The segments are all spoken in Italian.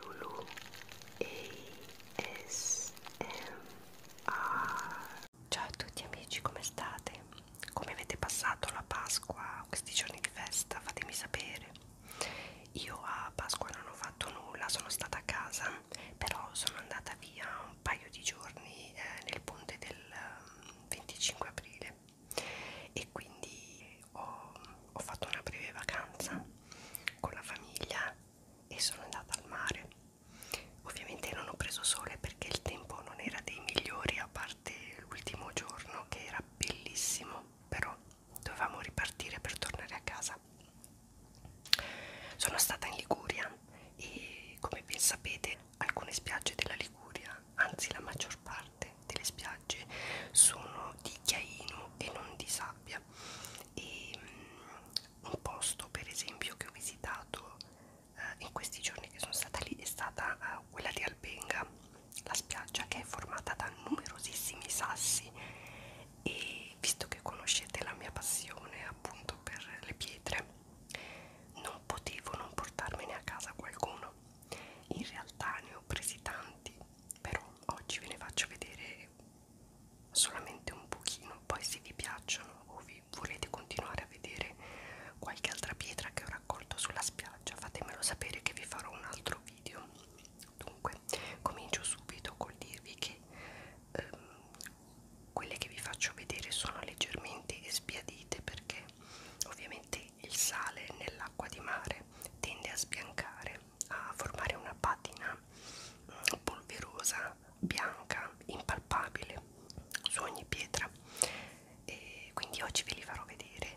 Lulu ASMR Ciao a tutti amici, come state? Come avete passato la Pasqua, questi giorni di festa? Fatemi sapere. Io a Pasqua non ho fatto nulla, sono stata a casa, però sono andata via un paio di giorni eh, nel ponte del 25 ehm, aprile e quindi ho, ho fatto una breve vacanza con la famiglia e sono andata al mare ovviamente non ho preso sole perché il tempo non era dei migliori a parte l'ultimo giorno che era bellissimo però dovevamo ripartire per tornare a casa sono stata in Liguria e come ben sapete alcune spiagge della Liguria anzi la maggior parte parte delle spiagge sono di chiaino e non di sabbia e um, un posto per esempio che ho visitato uh, in questi giorni che sono stata lì è stata uh, quella di Albenga la spiaggia che è formata da numerosissimi sassi e visto che conoscete la mia passione appunto per le pietre non potevo non portarmene a casa qualcuno in realtà ne ho presi tanti però oggi ve ne faccio vedere solamente un pochino poi se vi piacciono o vi volete continuare a vedere qualche altra pietra che ho raccolto sulla spiaggia fatemelo sapere che vi farò un altro video dunque comincio subito col dirvi che ehm, quelle che vi faccio vedere sono leggermente sbiadite perché ovviamente il sale nell'acqua di mare tende a sbiancare a formare una patina polverosa, bianca, impalpabile su ogni pietra e quindi oggi ve li farò vedere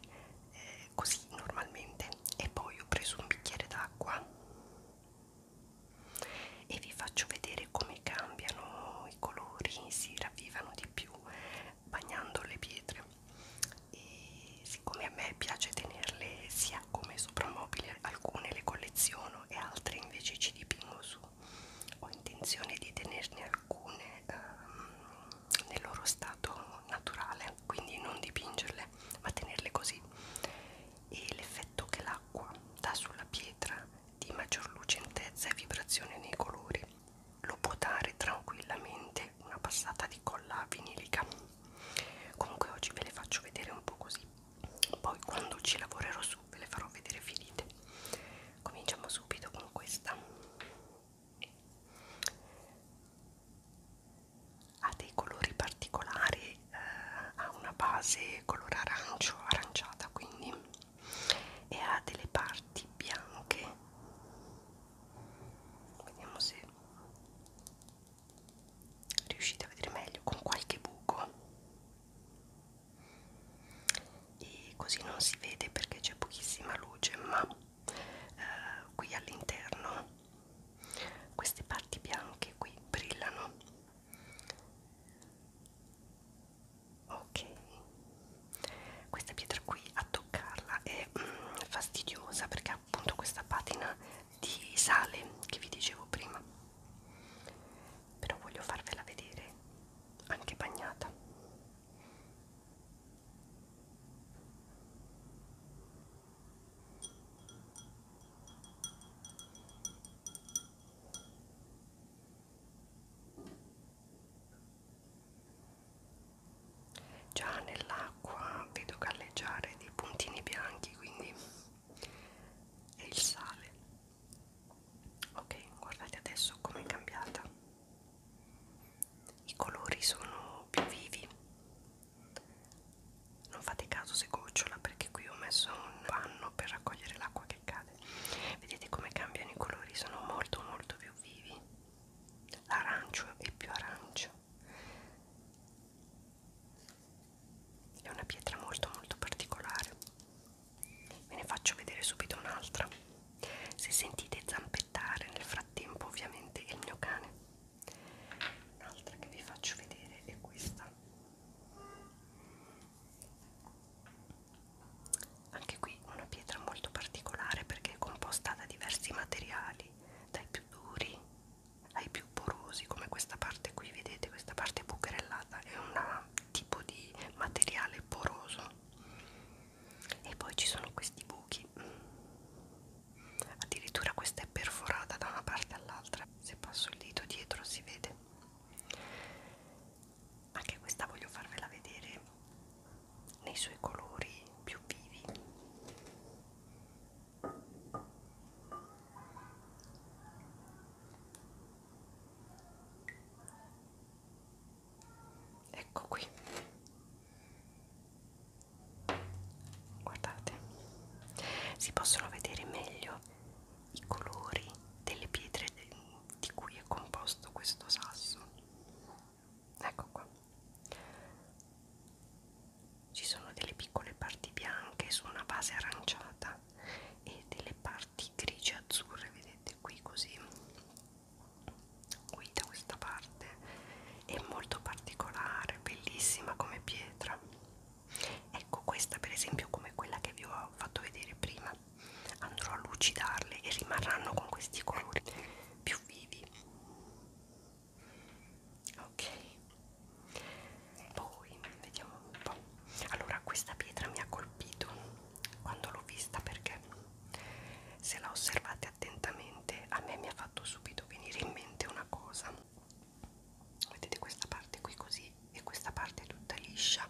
eh, così normalmente e poi ho preso un bicchiere d'acqua e vi faccio vedere come cambiano i colori, si ravvivano di più bagnando le pietre e siccome a me piace tenerle sia come soprammobile alcune le colleziono e altre invece ci dipingo su ho intenzione di tenerne alcune um, nel loro stato naturale quindi non dipingerle ma tenerle così e l'effetto che l'acqua dà sulla pietra di maggior lucentezza e vibrazione nei colori lo può dare tranquillamente una passata di colla vinilica comunque oggi ve le faccio vedere un po' così poi quando ci lavorerò su ve le farò vedere finite cominciamo subito con questa ha dei colori particolari eh, ha una base color arancio aranciata quindi e ha delle parti bianche vediamo se riuscite a vedere meglio con qualche buco e così non si vede perché c'è pochissima luce ma eh, qui all'interno queste parti bianche qui brillano ok questa pietra qui a toccarla è anche mm, fastidiosa perché ha appunto questa patina di sale che vi dicevo prima però voglio farvela vedere anche bagnata già nell'acqua vedo galleggiare dei puntini bianchi quindi è il sale ok guardate adesso com'è cambiata i colori sono più vivi non fate caso se gocciola perché qui ho messo un panno per raccogliere l'acqua che cade vedete come cambiano i colori sono molto molto più vivi l'arancio è più arancio è una pietra molto molto particolare ve ne faccio vedere subito un'altra se sentite zampettare nel frattempo ovviamente è il mio cane un'altra che vi faccio vedere è questa anche qui una pietra molto particolare perché è composta da diversi materiali dai più duri ai più porosi come questa parte qui vedete questa parte bucherellata è un tipo di materiale poroso e poi ci sono questi buchi addirittura questa è perforata da una parte all'altra se passo il dito dietro si vede anche questa voglio farvela vedere nei suoi colori più vivi. Ecco qui. Guardate, si possono vedere meglio i colori delle pietre di cui è composto questo sasso ecco qua ci sono delle piccole parti bianche su una base aranciata e delle parti grigie azzurre vedete qui così qui da questa parte è molto particolare bellissima come pietra ecco questa per esempio come quella che vi ho fatto vedere prima andrò a lucidarle e rimarranno con questi colori più vivi ok poi vediamo un po' allora questa pietra mi ha colpito quando l'ho vista perché se la osservate attentamente a me mi ha fatto subito venire in mente una cosa vedete questa parte qui così e questa parte tutta liscia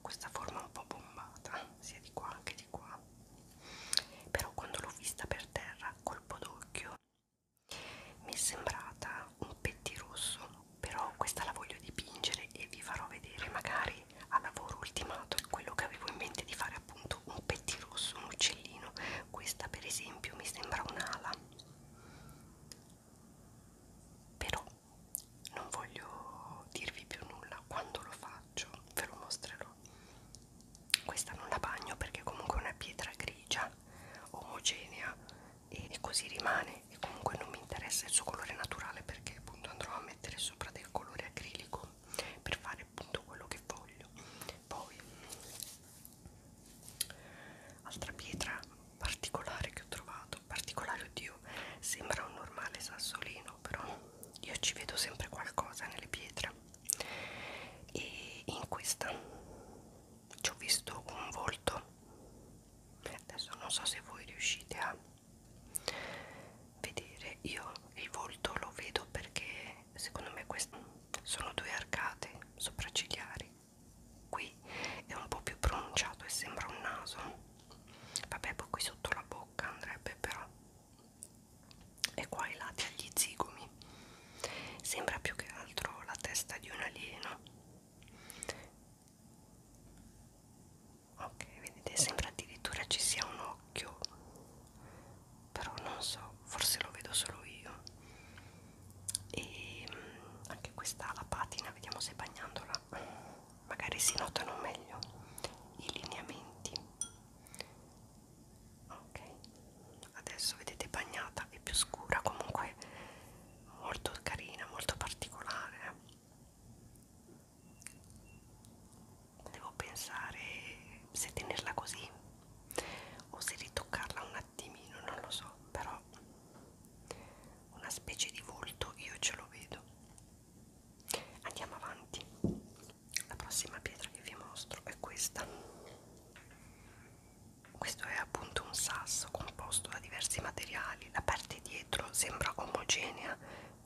questa forma un po' bombata sia di qua che di qua però quando l'ho vista per terra colpo d'occhio mi è sembrata un pettirosso però questa la voglio dipingere e vi farò vedere magari al lavoro ultimato quello che avevo in mente di fare appunto un pettirosso, un uccellino questa per esempio mi sembra un'ala però non voglio dirvi più nulla quando lo faccio ve lo mostrerò questa non la bagno perché comunque è una pietra grigia omogenea e, e così rimane e comunque non mi interessa il suo colore naturale perché appunto andrò a mettere sopra del colore acrilico per fare appunto quello che voglio poi altra pietra particolare che ho trovato particolare oddio sembra un normale sassolino però io ci vedo sempre qualcosa nelle pietre e in questa ci ho visto un volto adesso non so se voi riuscite a vedere io il volto lo vedo perché secondo me queste sono due arcate sopraccigliari qui è un po' più pronunciato e sembra un naso vabbè poi qui sotto la bocca andrebbe però e qua ai lati agli zigomi sembra più che altro la testa di un alieno ok vedete sembra addirittura ci sia un occhio però non so forse lo vedo solo io e mm, anche questa la patina vediamo se bagnandola magari si notano meglio i lineamenti ok adesso vedete bagnata e più scura comunque molto carina molto particolare eh. devo pensare se tenerla così o se ritoccarla un attimino non lo so però una specie di volto io ce lo vedo andiamo avanti la prossima pietra che vi mostro è questa questo è appunto un sasso composto da diversi materiali la parte dietro sembra omogenea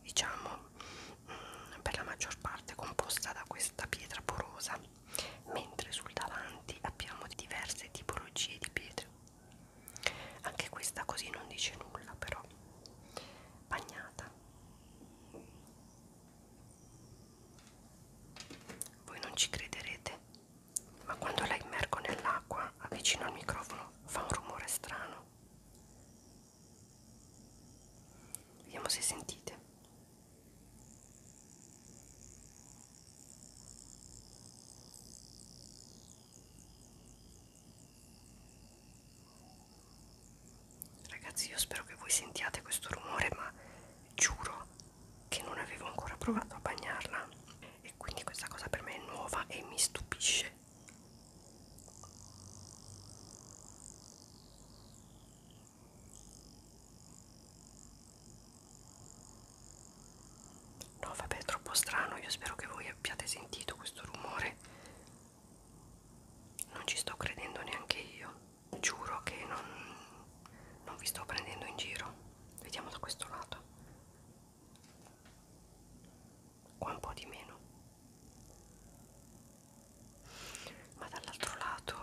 diciamo mh, mm, per la maggior parte composta da questa pietra porosa mentre sul davanti abbiamo diverse tipologie di pietre anche questa così non dice nulla però bagnata voi non ci crederete, ma quando la immergo nell'acqua avvicino al microfono fa un rumore strano. Vediamo se sentite. Ragazzi, io spero che voi sentiate questo rumore, ma giuro che non avevo ancora provato a bagnarla e quindi questa cosa per me è nuova e mi stupisce. No, vabbè, è troppo strano. Io spero che voi abbiate sentito questo rumore non ci sto credendo neanche io giuro che non, non vi sto prendendo in giro vediamo da questo lato qua un po' di meno ma dall'altro lato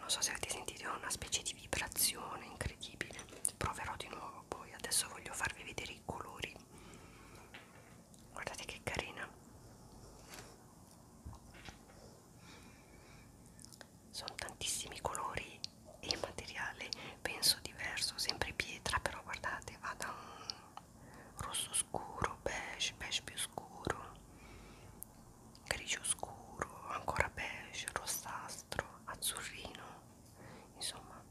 non so se avete sentito una specie di vibrazione incredibile proverò di nuovo poi adesso voglio farvi vedere i colori guardate che carina sono tantissimi colori e materiale penso diverso sempre pietra però guardate va da un rosso scuro beige beige più scuro grigio scuro ancora beige rossastro azzurrino insomma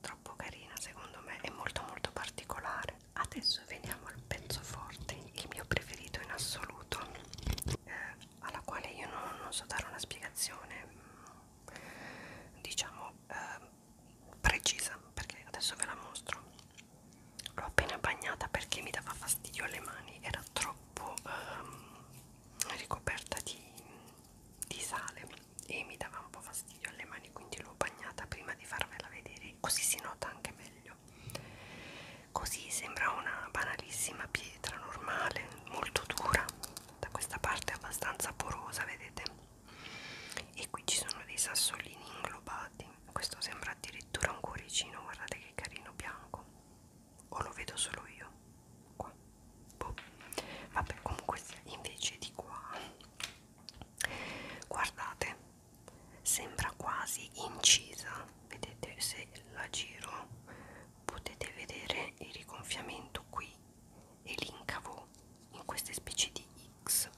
troppo carina secondo me è molto molto particolare adesso veniamo al pezzo forte il mio preferito in assoluto eh, alla quale io non, non so dare una spiegazione mm, diciamo eh, precisa perché adesso ve la mostro l'ho appena bagnata perché mi dava fastidio alle mani era troppo ehm, ricoperta di, di sale e mi dava un po' fastidio alle mani quindi l'ho bagnata prima di farvela vedere così si nota anche meglio così sembra una banalissima pietra normale molto dura da questa parte è abbastanza porosa vedete e qui ci sono dei sassolini inglobati questo sembra addirittura un cuoricino guardate che carino bianco o lo vedo solo io qua boh. vabbè comunque invece di qua guardate sembra quasi incisa vedete se la giro potete vedere il rigonfiamento qui e l'incavo in queste specie di X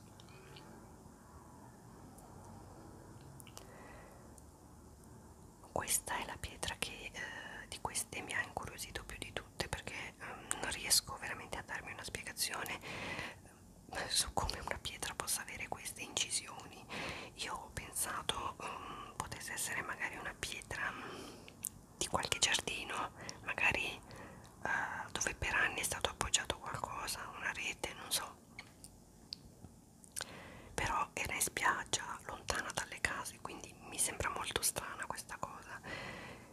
questa è la pietra che eh, di queste mi ha incuriosito più di tutte perché eh, non riesco veramente a darmi una spiegazione su come una pietra possa avere queste incisioni io ho pensato um, potesse essere magari una pietra um, di qualche giardino magari uh, dove per anni è stato appoggiato qualcosa una rete non so però era in spiaggia lontana dalle case quindi mi sembra molto strana questa cosa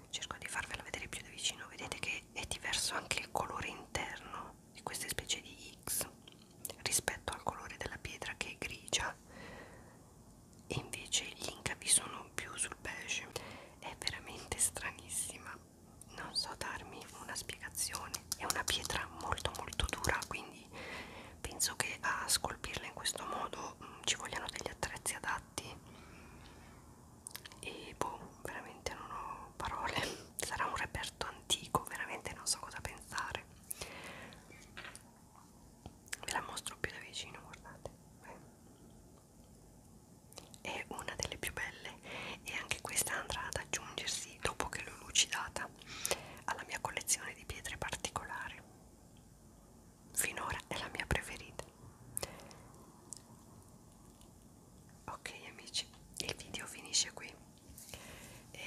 cerco di farvela vedere più da vicino vedete che è diverso anche il colore interno di queste specie di X rispetto al colore della pietra che è grigia e invece gli incavi sono più sul beige è veramente stranissima non so darmi una spiegazione è una pietra molto molto dura quindi penso che a scolpirla in questo modo mh, mm, ci vogliano degli attrezzi adatti e boh, veramente non ho parole. Sarà un reperto antico, veramente non so cosa pensare. Ve la mostro più da vicino, guardate. È una delle più belle e anche questa andrà ad aggiungersi dopo che l'ho lucidata alla mia collezione di pietre particolari. Finora è la mia preferita ok amici il video finisce qui e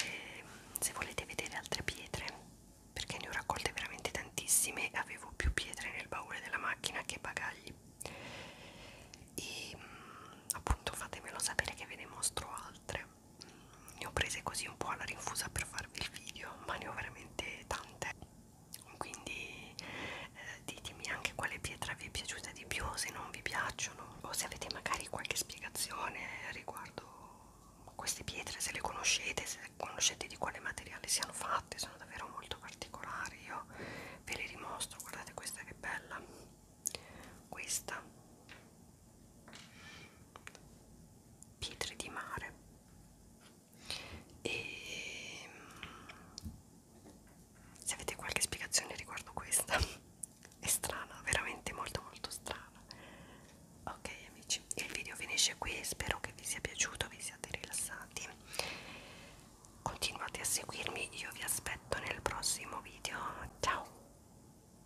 se volete vedere altre pietre perché ne ho raccolte veramente tantissime avevo più pietre nel baule della macchina che bagagli e appunto fatemelo sapere che ve ne mostro altre ne ho prese così un po' alla rinfusa per farvi il video ma ne ho veramente tante quindi eh, ditemi anche quale pietra vi è piaciuta di più se non vi piacciono o se avete magari qualche spiegazione riguardo queste pietre se le conoscete se conoscete di quale materiale siano fatte sono davvero molto particolari io ve le rimostro guardate questa che bella questa pietre di mare e mm, se avete qualche spiegazione riguardo questa è strana, veramente molto molto strana ok amici, il video finisce qui spero che vi sia piaciuto, vi siate rilassati continuate a seguirmi, io vi aspetto nel prossimo video, ciao